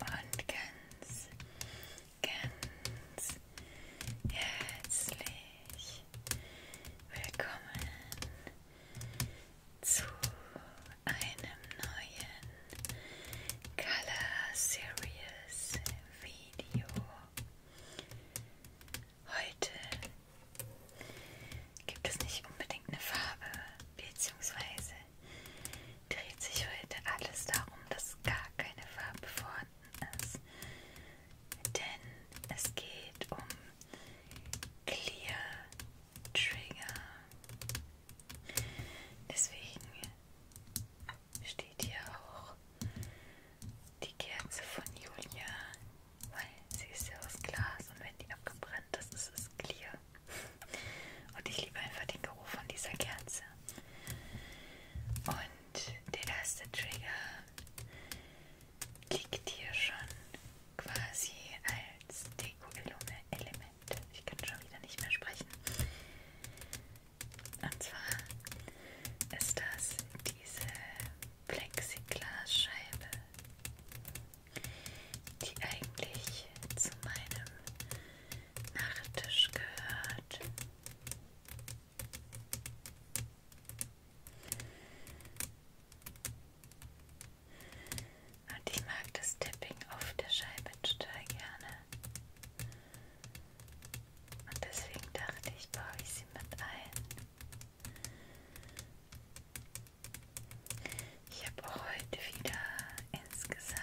und ganz, ganz herzlich willkommen zu einem neuen Color Series Video. Heute gibt es nicht unbedingt eine Farbe, beziehungsweise dreht sich heute alles darum, dass gar keine Farbe vorhanden ist. Denn es geht um Clear Trigger. Deswegen steht hier auch die Kerze von Julia, weil sie ist ja aus Glas und wenn die abgebrannt ist, ist es clear. Und ich liebe einfach den Geruch von dieser Kerze. Und der erste Trigger liegt hier schon quasi als Deko-Element. Ich kann schon wieder nicht mehr sprechen. Und zwar ist das diese Plexiglasscheibe, die eigentlich zu meinem Nachttisch gehört. Und ich mag das Tipping auf der Scheibe total gerne. Und deswegen dachte ich, baue ich sie mit ein. Ich habe auch heute wieder insgesamt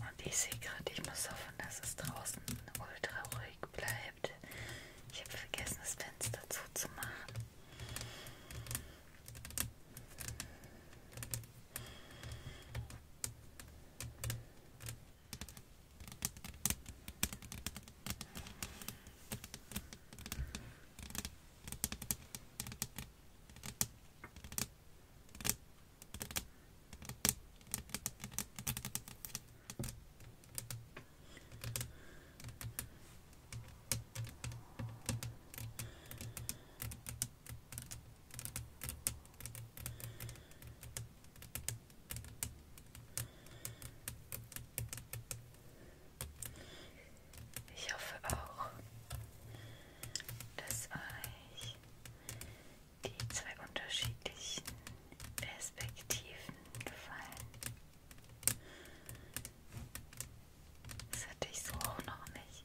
Und ich sehe gerade, ich muss hoffen, dass es draußen ultra ruhig bleibt. Ich habe vergessen, das Fenster zuzumachen. Ich hoffe auch, dass euch die zwei unterschiedlichen Perspektiven gefallen. Das hatte ich so auch noch nicht.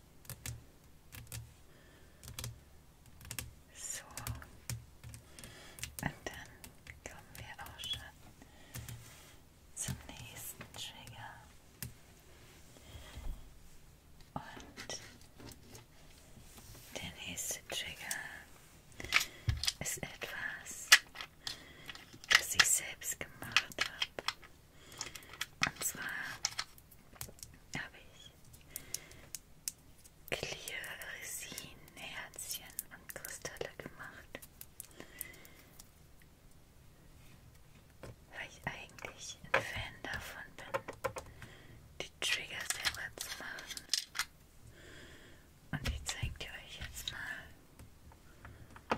So. Und dann kommen wir auch schon zum nächsten Trigger. Und der nächste Trigger ist etwas, das ich selbst gemacht habe. Und zwar habe ich Clear Resin, Herzchen und Kristalle gemacht. Weil ich eigentlich ein Fan davon bin, die Trigger selber zu machen. Und die zeigt ihr euch jetzt mal.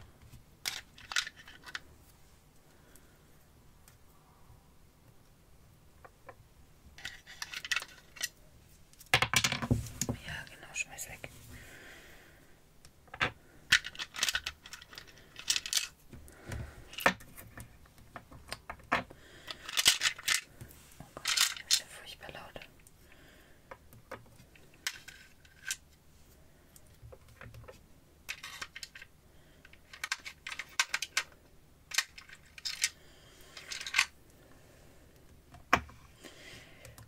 Ja, genau, schmeiß weg. Oh Gott, das ist ja furchtbar laut.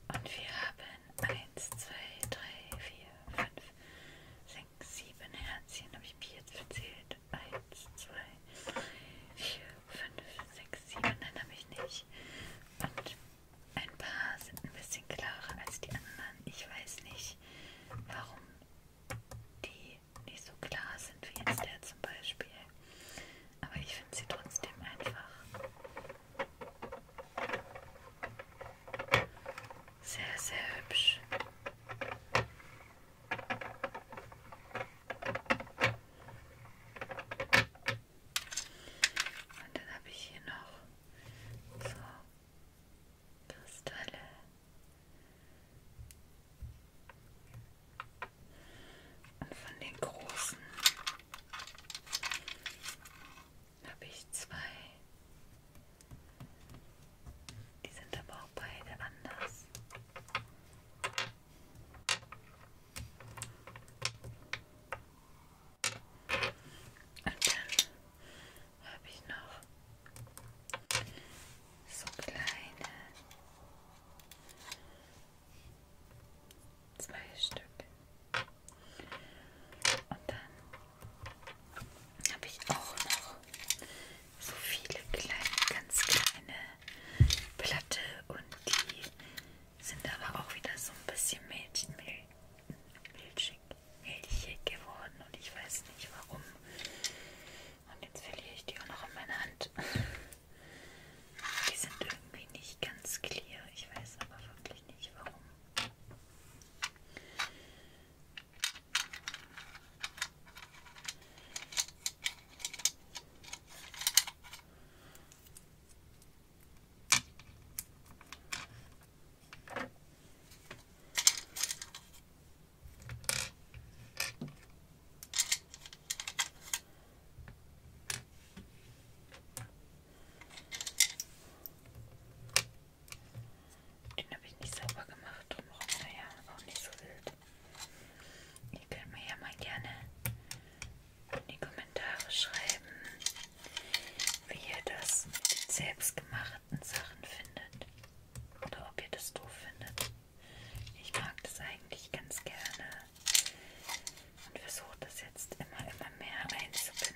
Und wir haben 1, 2, 3, 4, 5, 6, 7 Herzchen. Habe ich mir jetzt verzählt? 1, 2, 3, 4, 5, 6, 7. Nein, habe ich nicht. Und ein paar sind ein bisschen klarer als die anderen. Ich weiß nicht, warum die nicht so klar sind wie jetzt der zum Beispiel. Aber ich finde sie trotzdem einfach sehr, sehr hübsch. Und dann habe ich hier noch so Kristalle. Und von den großen habe ich zwei. Die sind aber auch beide anders. Und dann habe ich noch so kleine. Zwei Stück. Und dann habe ich auch noch so viele kleine, ganz kleine Platte und die sind aber auch wieder so ein bisschen Mädchen, milchig, milchig geworden und ich weiß nicht warum. Und jetzt verliere ich die auch noch in meiner Hand. Die sind irgendwie nicht ganz clear. Ich weiß aber wirklich nicht warum. Den habe ich nicht sauber gemacht, drumherum, naja, auch nicht so wild. Ihr könnt mir ja mal gerne in die Kommentare schreiben, wie ihr das mit den selbstgemachten Sachen findet. Oder ob ihr das doof findet. Ich mag das eigentlich ganz gerne und versuche das jetzt immer, immer mehr einzubinden.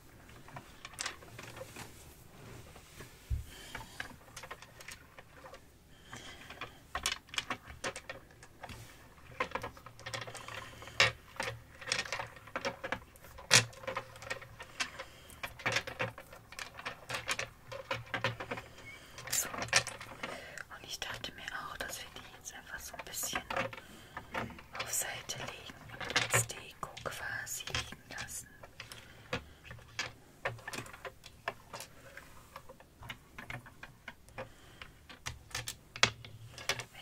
So. Und ich dachte mir auch, dass wir die jetzt einfach so ein bisschen auf Seite legen und als Deko quasi liegen lassen.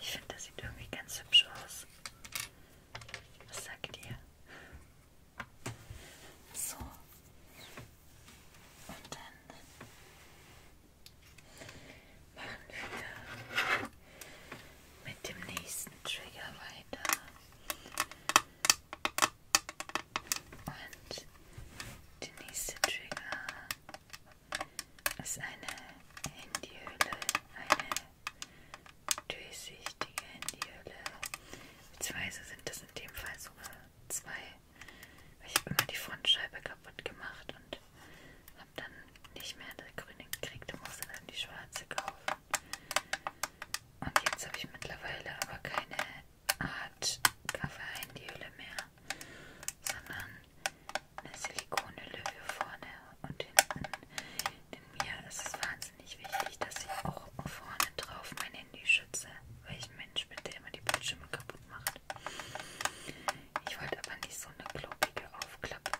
Ich finde, das sieht irgendwie ganz hübsch aus. Was sagt ihr? So. Und dann machen wir mit dem nächsten Trigger weiter. Und der nächste Trigger ist eine Handyhülle, eine durchsichtige Handyhülle. Beziehungsweise sind das in dem Fall sogar zwei. Ich habe immer die Frontscheibe kaputt gemacht und habe dann nicht mehr das grüne gekriegt und musste dann die schwarze kaufen. Und jetzt habe ich mittlerweile aber keine Art Kaffee-Handyhülle mehr, sondern eine Silikonhülle für vorne und hinten. Denn mir ist es wahnsinnig wichtig, dass ich auch vorne drauf mein Handy schütze, weil ich ein Mensch bin, der immer die Bildschirme kaputt macht. Ich wollte aber nicht so eine klobige Aufklappe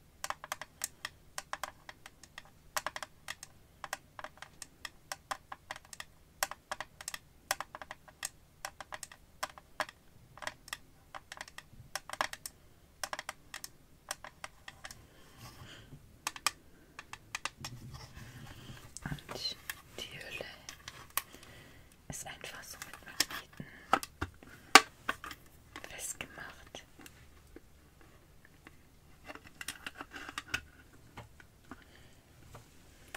Und die Hülle ist einfach so mit Magneten festgemacht. Zeit.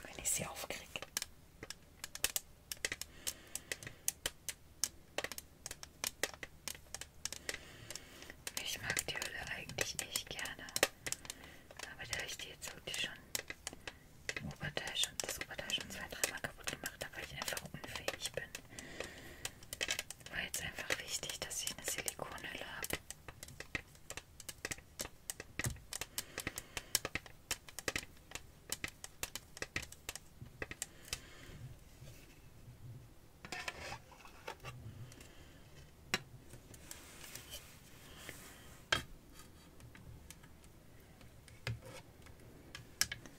Wenn ich sie aufkriege. Ich mag die Hülle eigentlich nicht gerne. Aber da ich die jetzt wirklich schon im Oberteil schon, das Oberteil schon zwei, dreimal kaputt gemacht habe, weil ich einfach unfähig bin. War jetzt einfach wichtig, dass ich eine Silikonhülle habe.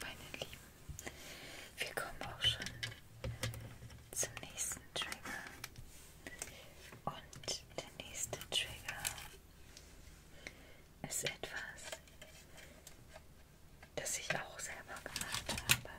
Meine Lieben, wir kommen auch schon zum nächsten Trigger. Und der nächste Trigger ist etwas, das ich auch selber gemacht habe.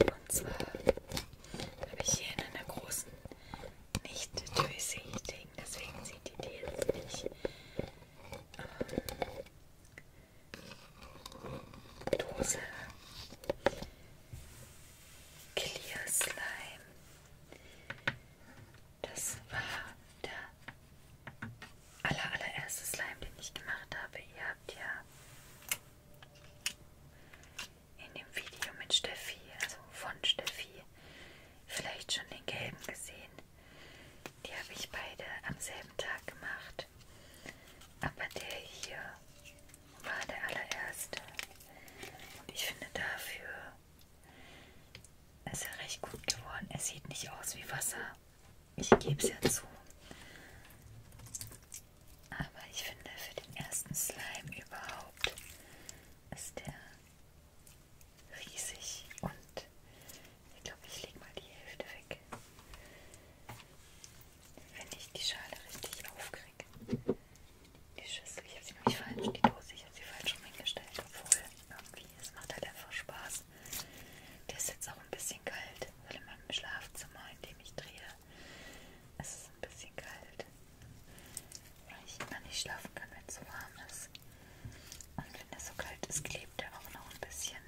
Und zwar habe ich hier in einer großen nicht durchsichtigen, deswegen sieht ihr die jetzt nicht ähm, Dose Clear Slime. Das war der aller, allererste Slime, den ich gemacht habe. Ihr habt ja in dem Video mit Steffi, also von Steffi, vielleicht schon den gelben gesehen. Die habe ich beide am selben Tag gemacht. Aber der hier war der allererste. Und ich finde dafür ist er recht gut geworden. Er sieht nicht aus wie Wasser. Ich gebe es ja zu. Aber ich finde für den ersten Slime überhaupt ist der riesig und ich glaube, ich lege mal die Hälfte weg. Wenn ich die Schale richtig aufkriege. Die Schüssel, ich habe sie nämlich falsch, die Dose, ich habe sie falsch rumgestellt, obwohl irgendwie, es macht halt einfach Spaß. Der ist jetzt auch ein bisschen kalt, weil in meinem Schlafzimmer, in dem ich drehe, ist es ein bisschen kalt weil ich immer nicht schlafen kann, wenn es so warm ist. Und wenn es so kalt ist, klebt er auch noch ein bisschen.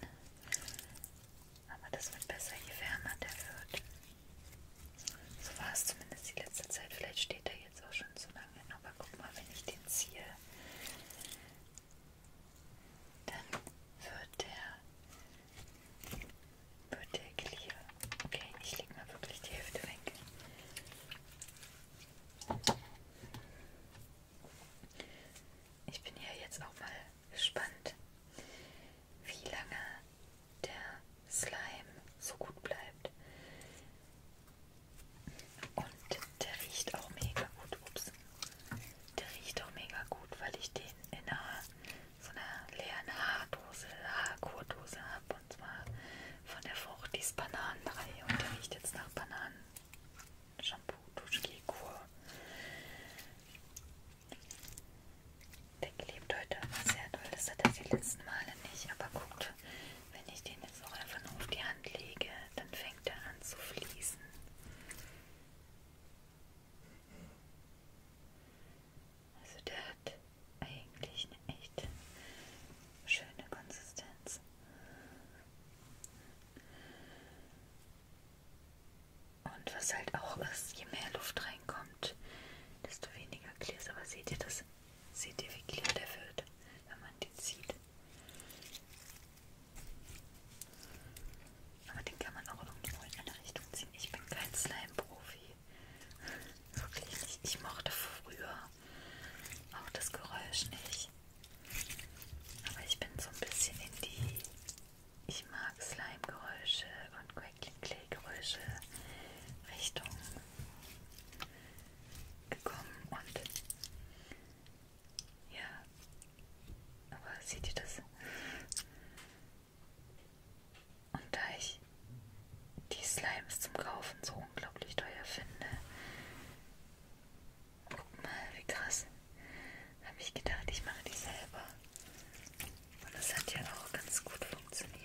Aber das wird besser, je wärmer der wird. So war es zumindest die letzte Zeit. Vielleicht steht er jetzt auch schon zu lange. Aber guck mal, wenn ich den ziehe, dann wird der, wird der clear. Okay, ich lege mal wirklich die Hälfte weg. Ich bin ja jetzt auch mal gespannt, wie lange der Slime so gut bleibt. Und der riecht auch mega gut. Ups. Der riecht auch mega gut, weil ich den in einer so einer leeren Haardose, Haarkurdose habe und zwar von der Fruchtis Bananenreihe und der riecht jetzt nach Bananen Shampoo Duschgel-Kur. Der klebt heute sehr doll, das hat er die letzten Male nicht, aber guckt, wenn ich den jetzt auch einfach nur auf die Hand lege, dann fängt er an zu fließen. Also der hat eigentlich eine echt schöne Konsistenz. Und was halt auch ist, je mehr Luft reinkommt, desto weniger Clear ist. Aber seht ihr das? Seht ihr, wie clear der wird, wenn man den zieht? Aber den kann man auch irgendwo in eine Richtung ziehen. Ich bin kein Slime-Profi. Wirklich nicht. Ich mochte früher auch das Geräusch nicht. Aber ich bin so ein bisschen in die. Ich mag Slime-Geräusche und Quackling-Clay-Geräusche Richtung gekommen und ja, aber seht ihr das? Und da ich die Slimes zum Kaufen so unglaublich teuer finde, guck mal, wie krass, habe ich gedacht, ich mache die selber. Und das hat ja auch ganz gut funktioniert.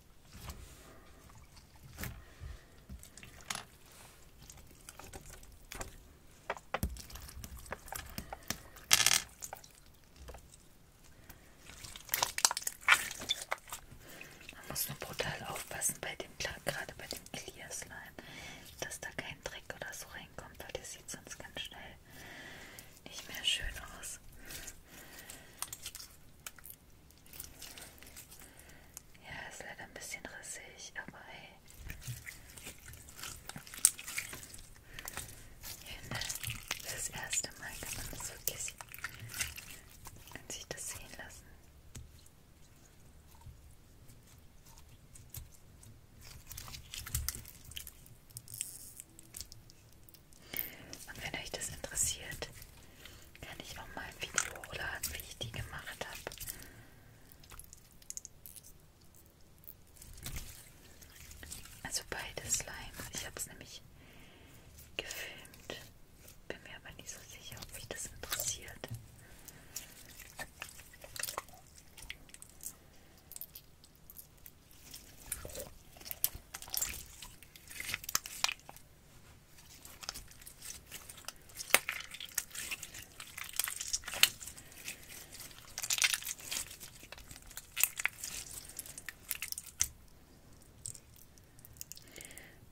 Man muss nur brutal aufpassen bei dem, gerade bei dem Clear Slime, dass da kein Dreck oder so reinkommt, weil der sieht sonst ganz schnell nicht mehr schön aus. Ja, ist leider ein bisschen rissig, aber hey. Ich finde, das erste Mal kann man das wirklich sehen. Kann sich das sehen lassen. Und wenn euch das interessiert, kann ich auch mal ein Video hochladen, wie ich die gemacht habe. Also beide Slime. Ich habe es nämlich gefilmt. Bin mir aber nicht so sicher, ob mich das interessiert.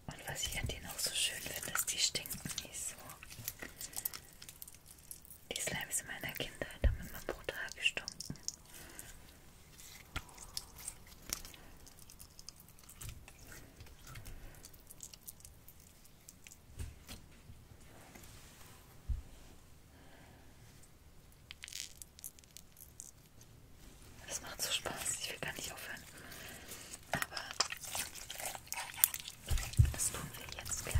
Und was ich an denen auch so schön finde, ist, die stinken nicht so. Die Slimes meiner Kindheit haben immer brutal gestunken. Das macht so Spaß, ich will gar nicht aufhören. Aber das tun wir jetzt gleich.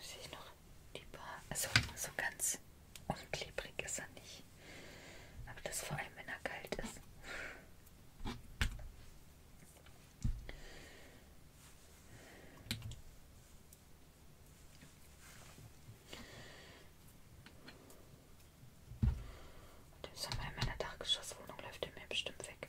Sehe ich noch die Bar? Also so ganz unklebrig ist er nicht. Aber das vor allem, wenn er kalt ist. Den Sommer in meiner Dachgeschosswohnung läuft er mir bestimmt weg.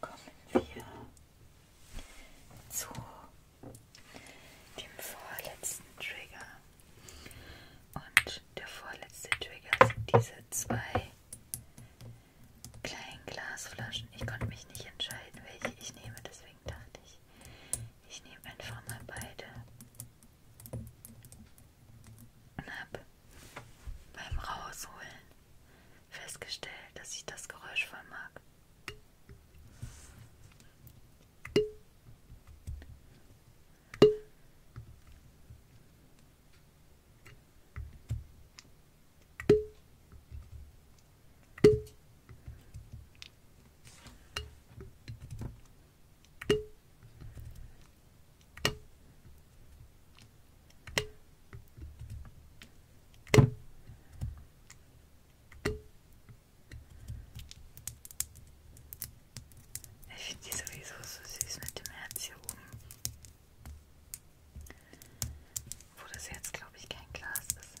kommen wir zu dem vorletzten Trigger. Und der vorletzte Trigger sind diese zwei kleinen Glasflaschen. Ich konnte mich nicht entscheiden, welche ich nehme, deswegen dachte ich, ich nehme einfach mal beide und habe beim Rausholen festgestellt, dass ich das Geräusch voll mag. Ich finde die sowieso so süß mit dem Herz hier oben. Wo das jetzt, glaube ich, kein Glas ist.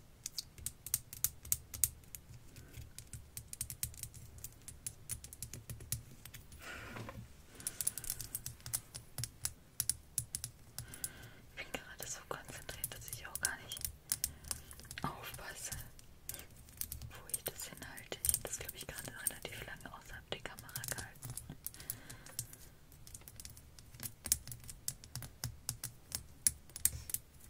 Ich bin gerade so konzentriert, dass ich auch gar nicht aufpasse, wo ich das hinhalte. Ich habe das, glaube ich, gerade relativ lange außerhalb der Kamera gehalten.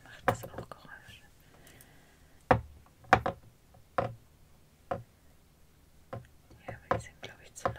Macht das auch Geräusche? Die Hebel sind, glaube ich, zu laut.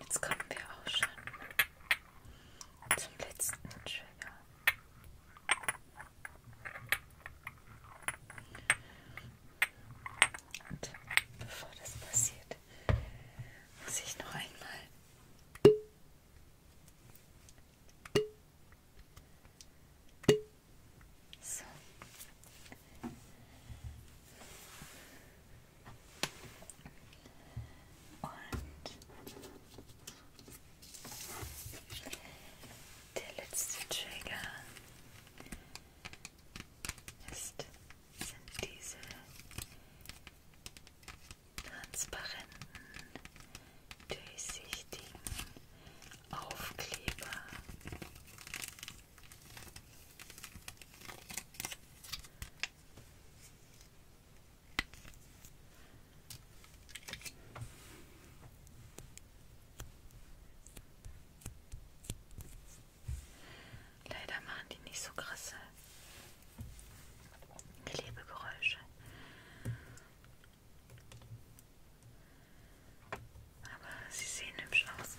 Jetzt kommen wir auch schon zum letzten Trigger. Und bevor das passiert, muss ich noch einmal so und der letzte Trigger ist, sind diese transparenten, durchsichtigen Aufkleber. Leider machen die nicht so krasse Klebegeräusche. Aber sie sehen hübsch aus.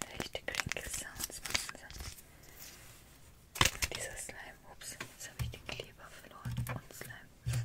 Leichte Krinkel-Sounds machen sie. Dieser Slime, ups, jetzt habe ich den Kleber verloren und Slime. naja.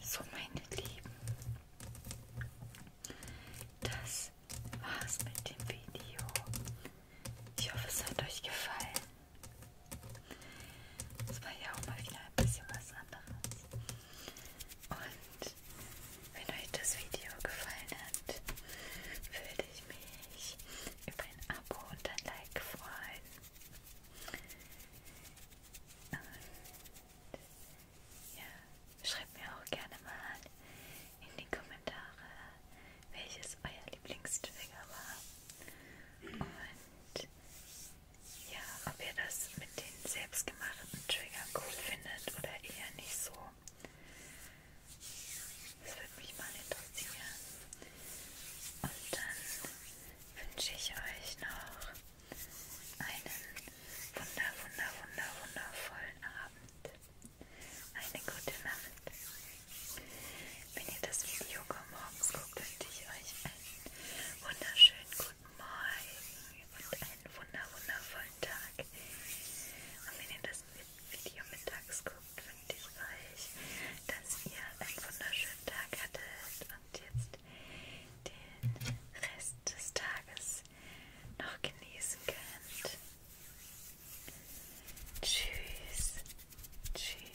So, meine Lieben, das das war's mit dem Video. Ich hoffe, es hat euch gefallen. Es war ja auch mal wieder ein bisschen was anderes. Und wenn euch das Video gefallen hat, würde ich mich über ein Abo und ein Like freuen. Und ja, Schreibt mir auch gerne mal in die Kommentare, welches euer Lieblingstrigger war. Und ja, ob ihr das mit den selbstgemachten Triggern cool findet oder eher nicht so. Das würde mich mal interessieren. Und dann wünsche ich euch noch einen wunder, wunder, wunder, wundervollen Abend eine gute Nacht. Wenn ihr das Video morgens guckt, wünsche ich euch einen wunderschönen guten Morgen und einen wunder wundervollen Tag. Und wenn ihr das Video mittags guckt, wünsche ich euch, dass ihr einen wunderschönen Tag hattet und jetzt den Rest des Tages jetzt noch genießen könnt. Tschüss. Tschüss.